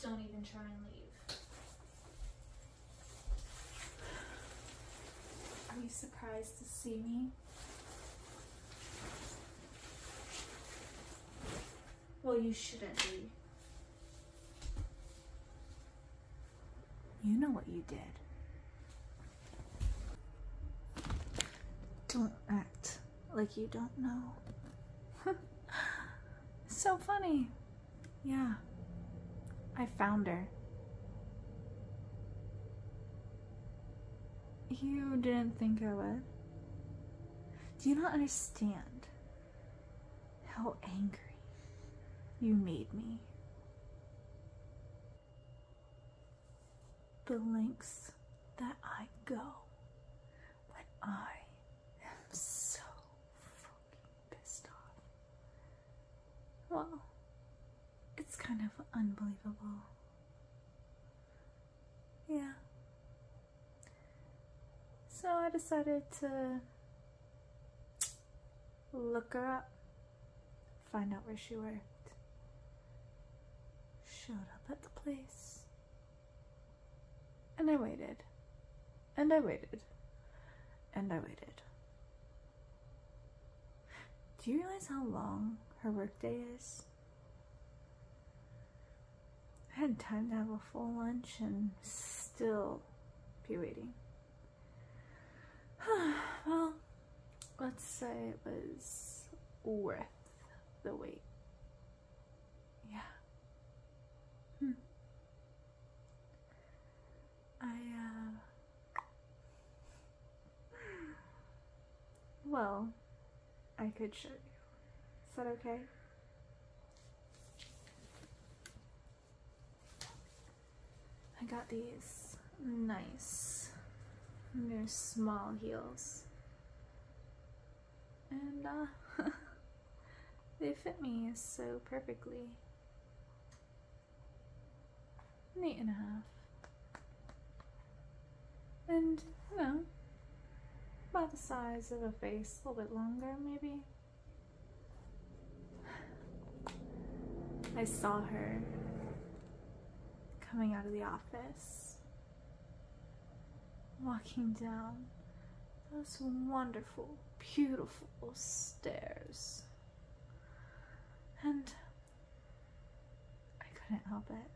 Don't even try and leave. Are you surprised to see me? Well, you shouldn't be. You know what you did. Don't act like you don't know. so funny. Yeah, I found her. You didn't think I would? Do you not understand? How angry you made me. The lengths that I go when I am so fucking pissed off. Well, it's kind of unbelievable. Yeah, so I decided to look her up, find out where she worked. Showed up at the place. And I waited. And I waited. And I waited. Do you realize how long her workday is? I had time to have a full lunch and still be waiting. well, let's say it was worth the wait. Yeah. Hmm. I, uh, Well, I could show you. Is that okay? I got these nice, very small heels. And uh, they fit me so perfectly. An eight and a half. And, you know, about the size of a face, a little bit longer maybe. I saw her coming out of the office, walking down those wonderful, beautiful stairs. And I couldn't help it.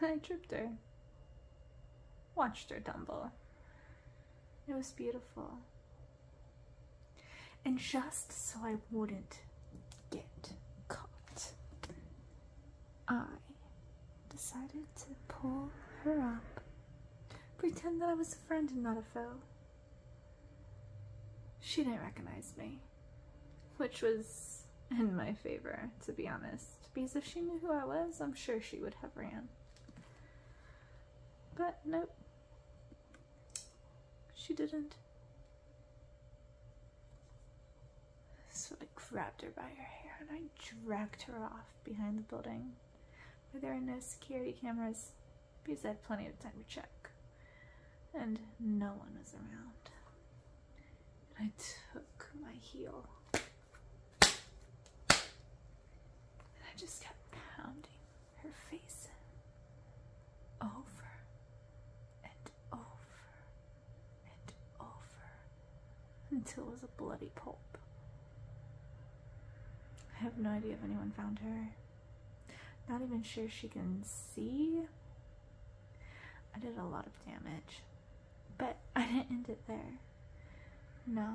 I tripped her. Watched her tumble. It was beautiful. And just so I wouldn't get caught, I decided to pull her up, pretend that I was a friend and not a foe. She didn't recognize me, which was in my favor, to be honest. Because if she knew who I was, I'm sure she would have ran. But nope. She didn't. So I grabbed her by her hair and I dragged her off behind the building where there are no security cameras because I had plenty of time to check. And no one was around and I took my heel and I just kept pounding her face in over and over and over until it was a bloody pulp. I have no idea if anyone found her. Not even sure she can see. I did a lot of damage. But I didn't end it there. No.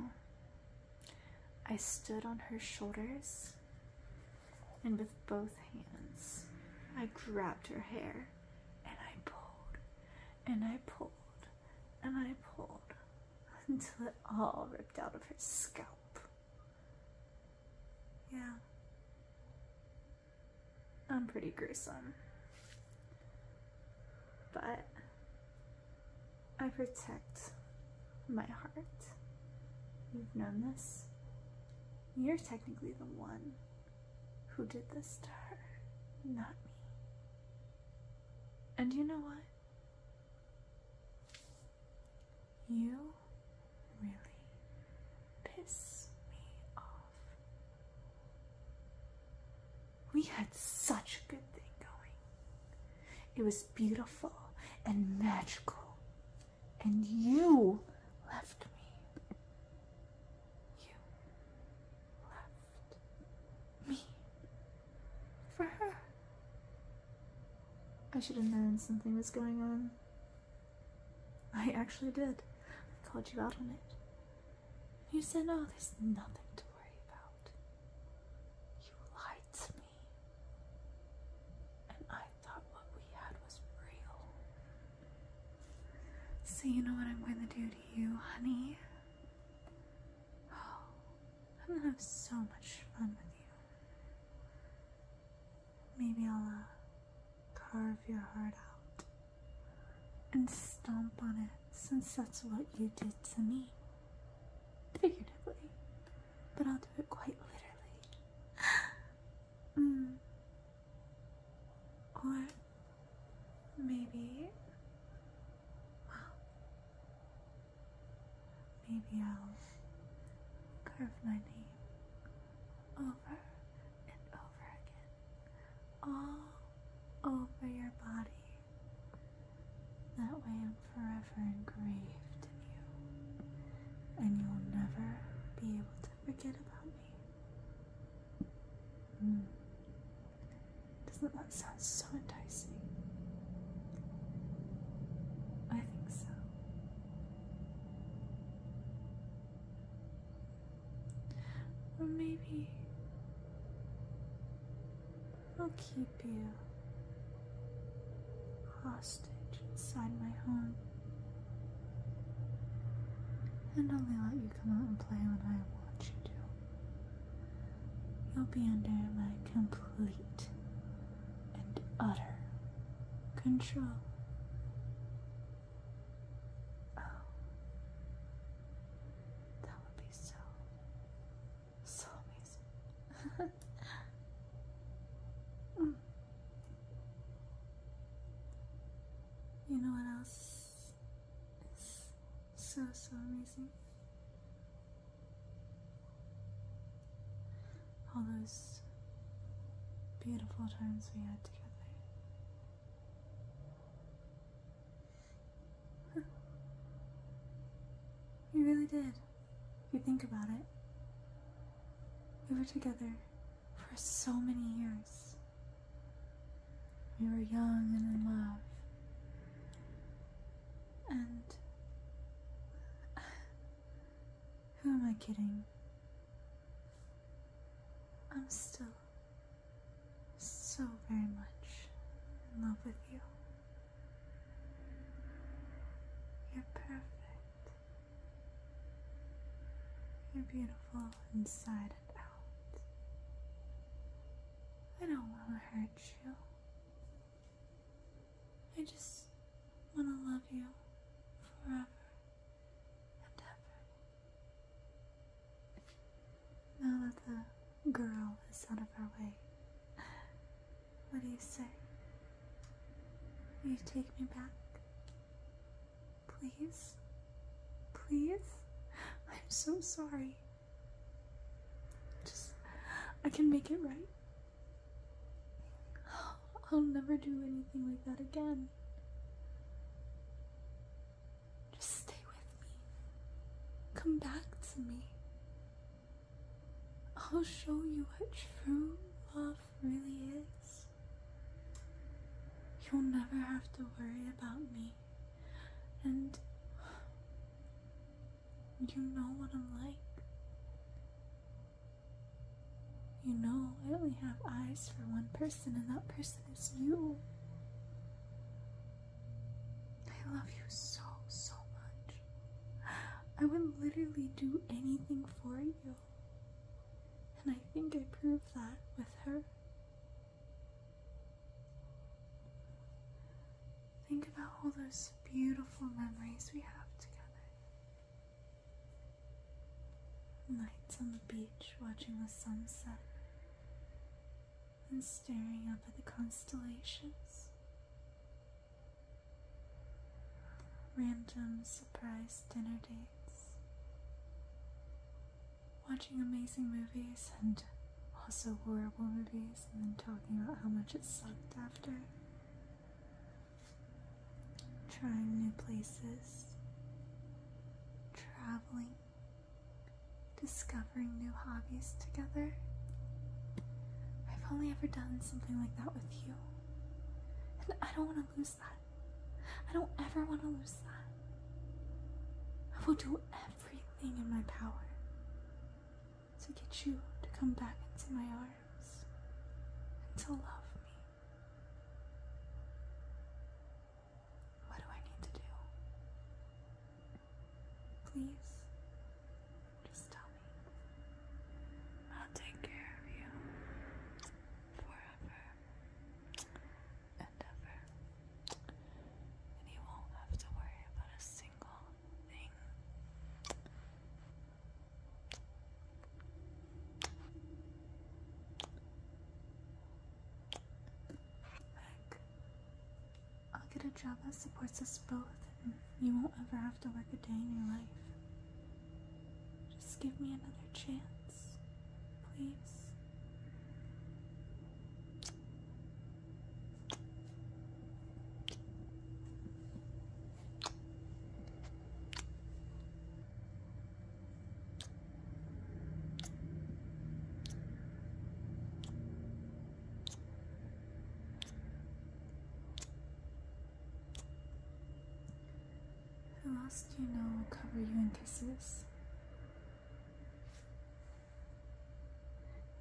I stood on her shoulders, and with both hands, I grabbed her hair and I pulled and I pulled and I pulled until it all ripped out of her scalp. Yeah. I'm pretty gruesome. But I protect my heart. You've known this. You're technically the one who did this to her, not me. And you know what? You really piss me off. We had such a good thing going. It was beautiful and magical. And you left me. You left me for her. I should have known something was going on. I actually did. I called you out on it. You said, oh, there's nothing to worry about. You lied to me. And I thought what we had was real. So, you know what I'm going to do to you, honey? Oh, I'm going to have so much fun with you. Maybe I'll uh, carve your heart out and stomp on it since that's what you did to me. Figuratively, but I'll do it quite literally. Mm. Or maybe, maybe I'll carve my name over and over again, all over your body. That way, I'm forever engraved in you, and you'll never be able to forget about me. Hmm. Doesn't that sound so enticing? I think so. Or maybe I'll keep you hostage inside my home. And only let you come out and play when I want you to. You'll be under my complete and utter control. Oh, that would be so, so amazing. You know what else is so, so amazing? All those beautiful times we had together. You really did. If you think about it. We were together for so many years. We were young and in love. And who am I kidding? I'm still so very much in love with you. You're perfect. You're beautiful inside and out. I don't want to hurt you. I just want to love you forever now that the girl is out of our way, what do you say? Will you take me back? Please? Please? I'm so sorry. Just, I can make it right. I'll never do anything like that again. Just stay with me. Come back to me. I'll show you what true love really is. You'll never have to worry about me. And you know what I'm like. You know, I only have eyes for one person, and that person is you. I love you so, so much. I would literally do anything for you. And I think I proved that with her. Think about all those beautiful memories we have together. Nights on the beach watching the sunset, and staring up at the constellations. Random surprise dinner dates. Watching amazing movies and also horrible movies, and then talking about how much it sucked after. Trying new places. Traveling discovering new hobbies together. I've only ever done something like that with you. And I don't want to lose that. I don't ever want to lose that. I will do everything in my power to get you to come back into my arms and to love me. What do I need to do? Please, just tell me. I'll take care of you forever and ever. And you won't have to worry about a single thing. I'll get a job that supports us both, and you won't ever have to work a day in your life. Just give me another chance, please. Who else do you know will cover you in kisses.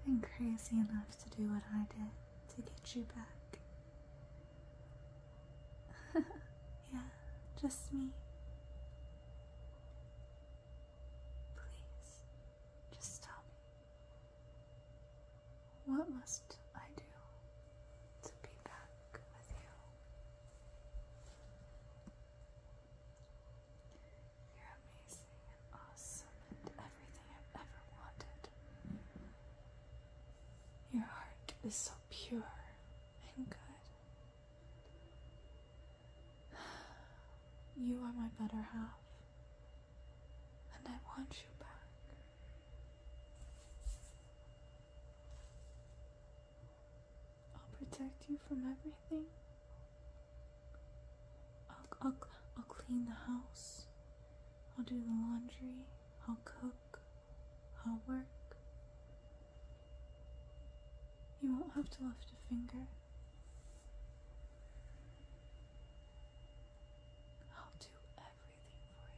And crazy enough to do what I did to get you back. yeah, just me. Please, just tell me. What must I do to be back with you? You're amazing and awesome and everything I've ever wanted. Your heart is so pure and good. You are my better half, and I want you back. I'll protect you from everything. I'll, I'll, I'll clean the house. I'll do the laundry. I'll cook. I'll work. You won't have to lift a finger. I'll do everything for you,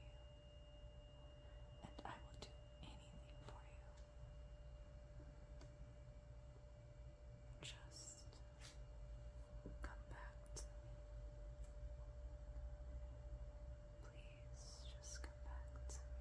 and I will do anything for you. Just come back to me. Please just come back to me.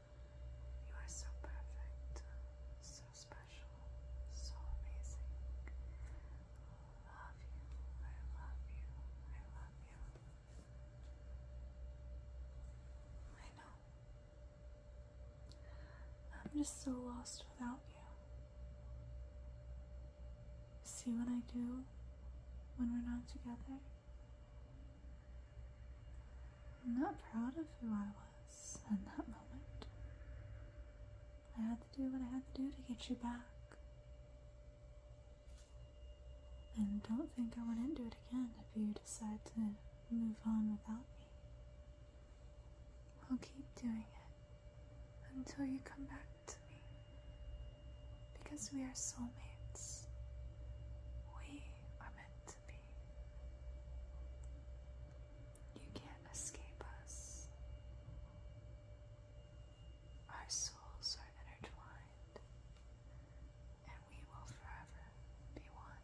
You are so perfect, so special, so amazing. Love you, I love you, I love you. I know. I'm just so lost without you. See what I do when we're not together? I'm not proud of who I was was in that moment. I had to do what I had to do to get you back. And don't think I wouldn't do it again if you decide to move on without me. I'll keep doing it until you come back to me. Because we are soulmates. We are meant you can't escape us. Our souls are intertwined, and we will forever be one.